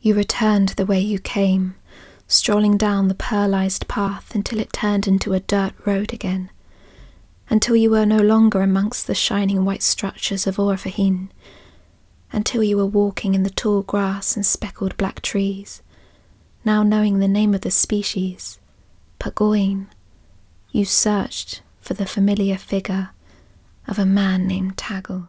You returned the way you came, strolling down the pearlized path until it turned into a dirt road again, until you were no longer amongst the shining white structures of Orfahin, until you were walking in the tall grass and speckled black trees, now knowing the name of the species, Pagoin, you searched for the familiar figure of a man named Taggle.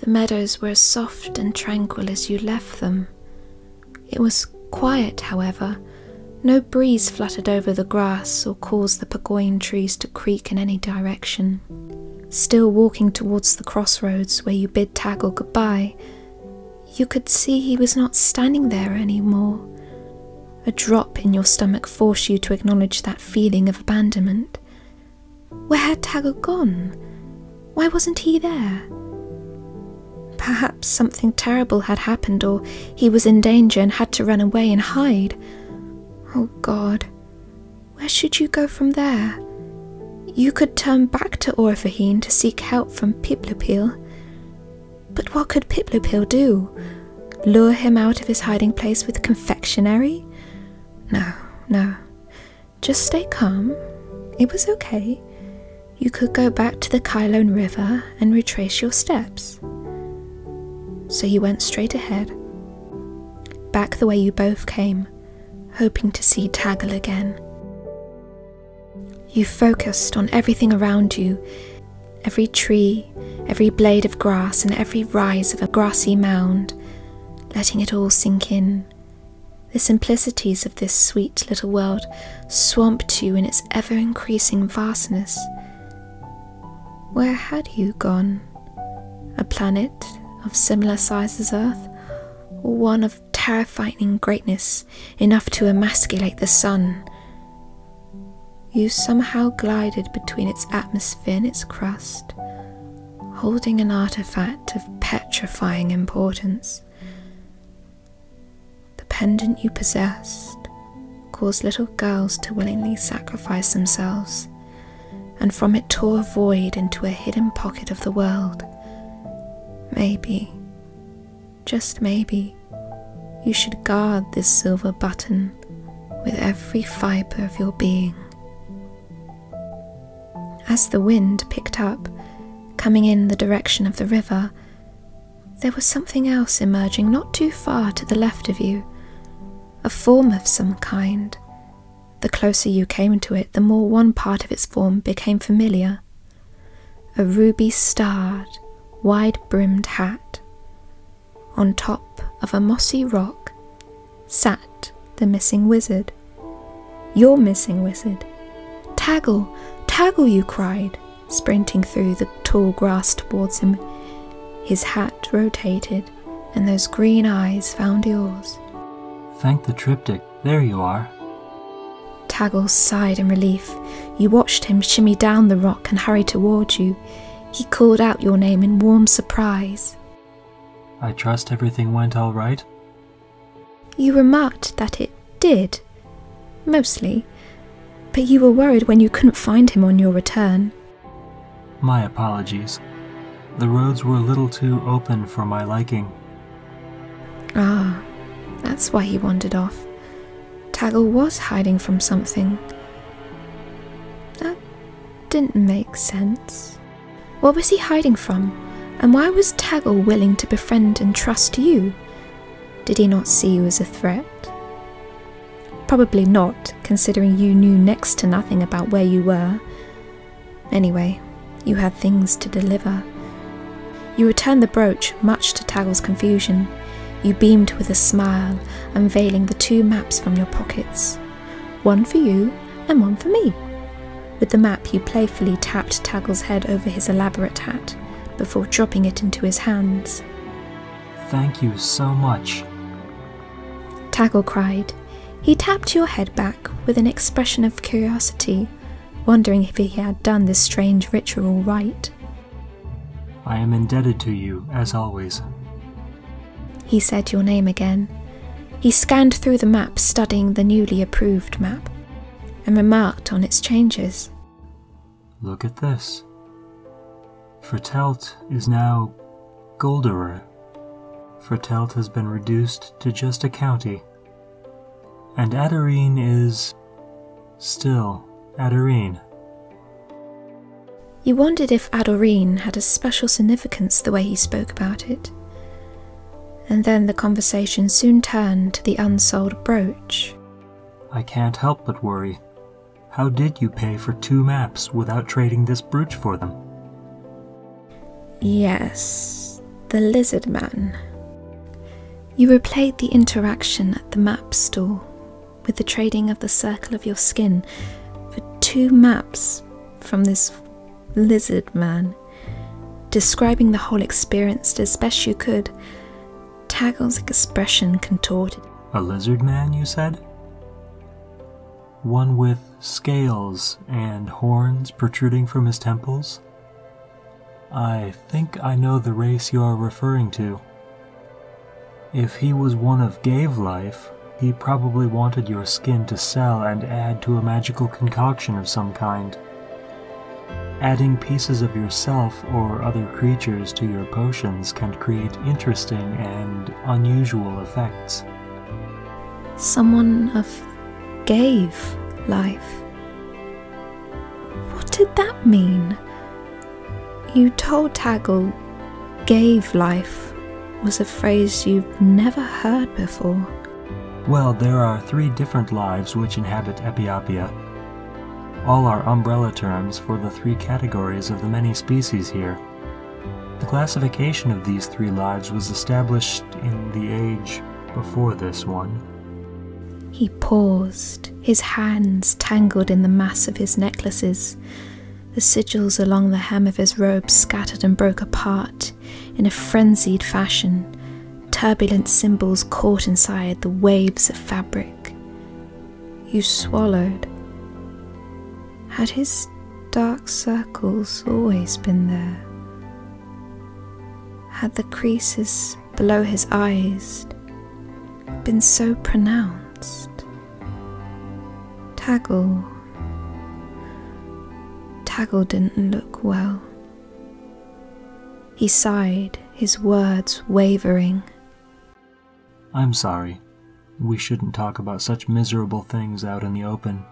The meadows were as soft and tranquil as you left them. It was quiet, however. No breeze fluttered over the grass or caused the pagoin trees to creak in any direction. Still walking towards the crossroads where you bid Taggle goodbye, you could see he was not standing there any more. A drop in your stomach forced you to acknowledge that feeling of abandonment. Where had Tagger gone? Why wasn't he there? Perhaps something terrible had happened, or he was in danger and had to run away and hide. Oh God, where should you go from there? You could turn back to Orphaheen to seek help from Piplopil. But what could Piplopil do? Lure him out of his hiding place with confectionery? No, no. Just stay calm. It was okay. You could go back to the Kylone River and retrace your steps. So you went straight ahead, back the way you both came, hoping to see Taggle again. You focused on everything around you every tree, every blade of grass, and every rise of a grassy mound letting it all sink in. The simplicities of this sweet little world swamped you in its ever increasing vastness. Where had you gone? A planet of similar size as Earth, or one of terrifying greatness enough to emasculate the sun? you somehow glided between its atmosphere and its crust, holding an artifact of petrifying importance. The pendant you possessed caused little girls to willingly sacrifice themselves, and from it tore a void into a hidden pocket of the world. Maybe, just maybe, you should guard this silver button with every fibre of your being. As the wind picked up, coming in the direction of the river, there was something else emerging not too far to the left of you, a form of some kind. The closer you came to it, the more one part of its form became familiar. A ruby starred, wide brimmed hat. On top of a mossy rock sat the missing wizard. Your missing wizard. Taggle, Taggle, you cried, sprinting through the tall grass towards him. His hat rotated, and those green eyes found yours. Thank the triptych, there you are. Taggle sighed in relief. You watched him shimmy down the rock and hurry towards you. He called out your name in warm surprise. I trust everything went all right. You remarked that it did, mostly, but you were worried when you couldn't find him on your return. My apologies. The roads were a little too open for my liking. Ah, that's why he wandered off. Taggle was hiding from something. That didn't make sense. What was he hiding from, and why was Taggle willing to befriend and trust you? Did he not see you as a threat? Probably not, considering you knew next to nothing about where you were. Anyway, you had things to deliver. You returned the brooch, much to Taggle's confusion. You beamed with a smile, unveiling the two maps from your pockets one for you and one for me. With the map, you playfully tapped Taggle's head over his elaborate hat before dropping it into his hands. Thank you so much. Taggle cried. He tapped your head back with an expression of curiosity, wondering if he had done this strange ritual right. I am indebted to you, as always. He said your name again. He scanned through the map, studying the newly approved map, and remarked on its changes. Look at this. Fratelt is now Golderer. Fratelt has been reduced to just a county. And Adarine is Still, Adorine. You wondered if Adorine had a special significance the way he spoke about it. And then the conversation soon turned to the unsold brooch. I can't help but worry. How did you pay for two maps without trading this brooch for them? Yes, the lizard man. You replayed the interaction at the map store with the trading of the circle of your skin for two maps from this lizard man, describing the whole experience as best you could. Taggle's expression contorted. A lizard man, you said? One with scales and horns protruding from his temples? I think I know the race you are referring to. If he was one of Gave Life, he probably wanted your skin to sell and add to a magical concoction of some kind. Adding pieces of yourself or other creatures to your potions can create interesting and unusual effects. Someone of Gave Life. What did that mean? You told Taggle gave life was a phrase you've never heard before. Well, there are three different lives which inhabit Epiopia. All are umbrella terms for the three categories of the many species here. The classification of these three lives was established in the age before this one. He paused, his hands tangled in the mass of his necklaces, the sigils along the hem of his robe scattered and broke apart in a frenzied fashion, turbulent symbols caught inside the waves of fabric. You swallowed. Had his dark circles always been there? Had the creases below his eyes been so pronounced. Taggle. Taggle didn't look well. He sighed, his words wavering. I'm sorry. We shouldn't talk about such miserable things out in the open.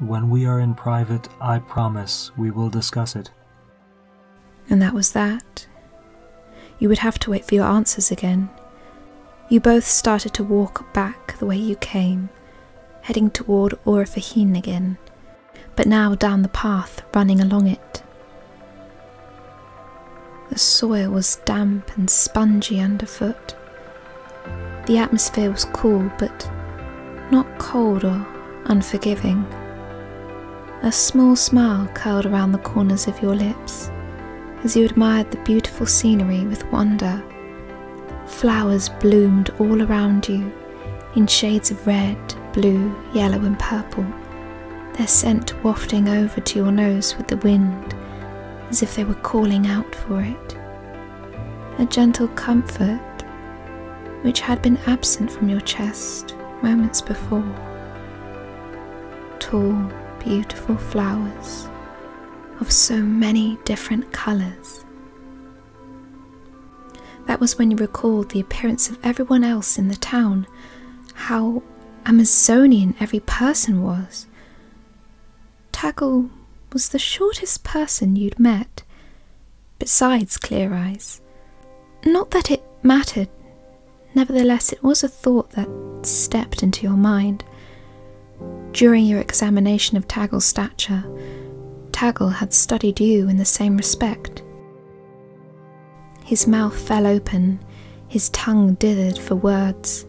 When we are in private, I promise we will discuss it, and that was that. You would have to wait for your answers again. You both started to walk back the way you came, heading toward Orifahine again, but now down the path running along it. The soil was damp and spongy underfoot. The atmosphere was cool, but not cold or unforgiving. A small smile curled around the corners of your lips as you admired the beautiful scenery with wonder. Flowers bloomed all around you in shades of red, blue, yellow, and purple, their scent wafting over to your nose with the wind as if they were calling out for it. A gentle comfort which had been absent from your chest moments before. Tall, beautiful flowers of so many different colours. That was when you recalled the appearance of everyone else in the town, how Amazonian every person was. Taggle was the shortest person you'd met, besides Clear Eyes. Not that it mattered, nevertheless, it was a thought that stepped into your mind. During your examination of Taggle's stature, Taggle had studied you in the same respect. His mouth fell open, his tongue dithered for words,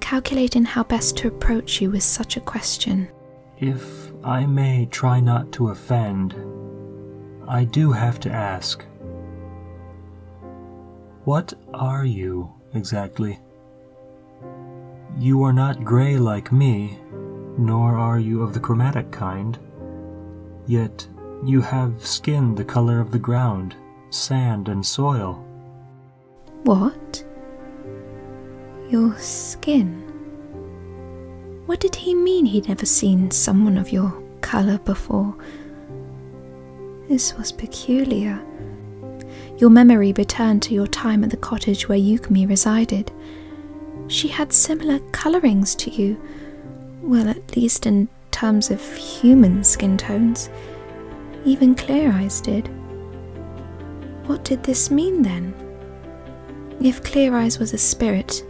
calculating how best to approach you with such a question. If I may try not to offend, I do have to ask. What are you exactly? You are not gray like me, nor are you of the chromatic kind. Yet you have skin the color of the ground, sand, and soil. What? Your skin. What did he mean he'd never seen someone of your colour before? This was peculiar. Your memory returned to your time at the cottage where Yukmi resided. She had similar colourings to you, well, at least in terms of human skin tones. Even Clear Eyes did. What did this mean then? If Clear Eyes was a spirit,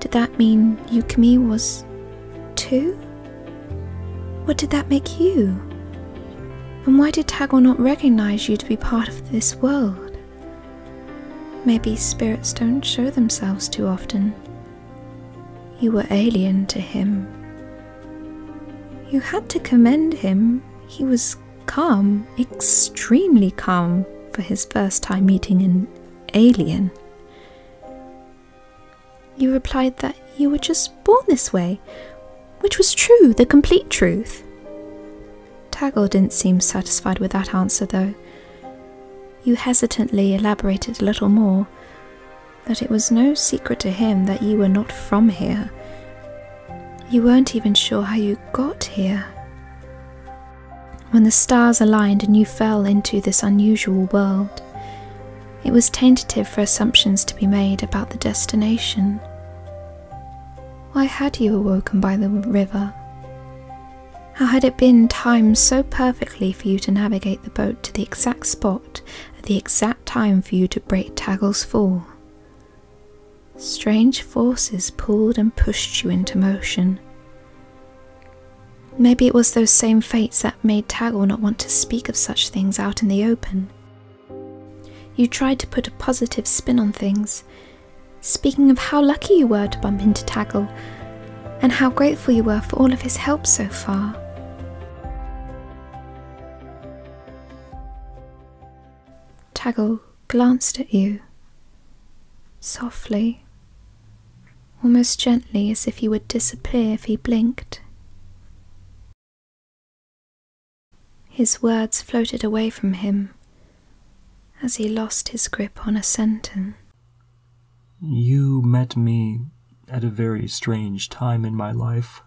did that mean Yukimi was too? What did that make you? And why did Tagore not recognize you to be part of this world? Maybe spirits don't show themselves too often. You were alien to him. You had to commend him. He was calm, extremely calm for his first time meeting an alien. You replied that you were just born this way, which was true, the complete truth. Tagore didn't seem satisfied with that answer, though. You hesitantly elaborated a little more that it was no secret to him that you were not from here, you weren't even sure how you got here. When the stars aligned and you fell into this unusual world, it was tentative for assumptions to be made about the destination. Why had you awoken by the river? How had it been timed so perfectly for you to navigate the boat to the exact spot at the exact time for you to break Taggle's fall? Strange forces pulled and pushed you into motion. Maybe it was those same fates that made Taggle not want to speak of such things out in the open. You tried to put a positive spin on things, speaking of how lucky you were to bump into Taggle and how grateful you were for all of his help so far. Taggle glanced at you, softly, almost gently as if he would disappear if he blinked. His words floated away from him as he lost his grip on a sentence. You met me at a very strange time in my life,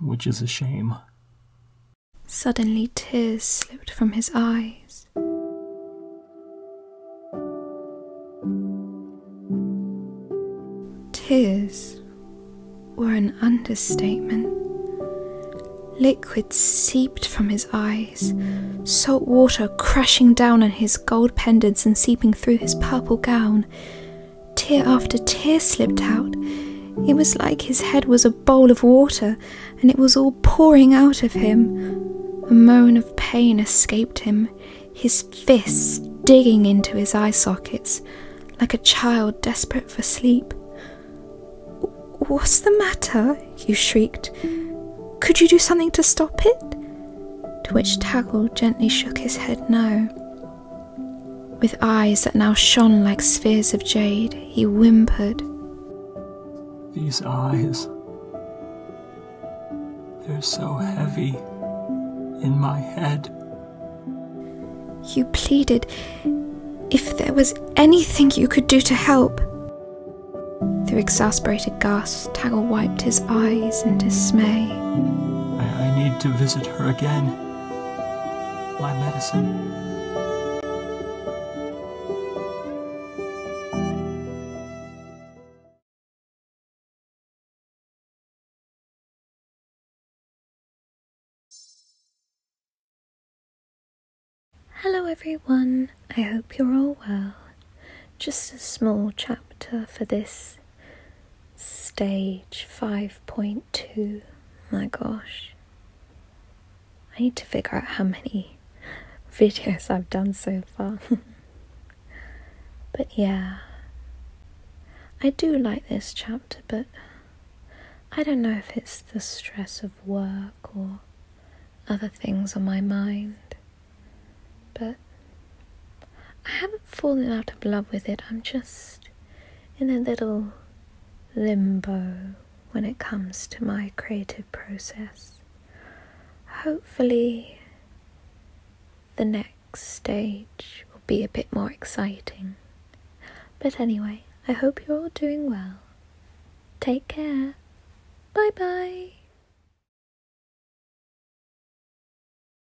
which is a shame. Suddenly, tears slipped from his eyes. Tears were an understatement. Liquid seeped from his eyes, salt water crashing down on his gold pendants and seeping through his purple gown. Tear after tear slipped out. It was like his head was a bowl of water and it was all pouring out of him. A moan of pain escaped him, his fists digging into his eye sockets like a child desperate for sleep. What's the matter? you shrieked. Could you do something to stop it? To which Taggle gently shook his head no. With eyes that now shone like spheres of jade, he whimpered, These eyes, they're so heavy in my head. You pleaded if there was anything you could do to help. Through exasperated gasps, Taggle wiped his eyes in dismay. I need to visit her again my medicine. Hello everyone, I hope you're all well. Just a small chapter for this Stage 5.2. My gosh. I need to figure out how many videos I've done so far. but yeah. I do like this chapter, but I don't know if it's the stress of work or other things on my mind. But I haven't fallen out of love with it. I'm just in a little limbo when it comes to my creative process. Hopefully, the next stage will be a bit more exciting. But anyway, I hope you're all doing well. Take care. Bye bye.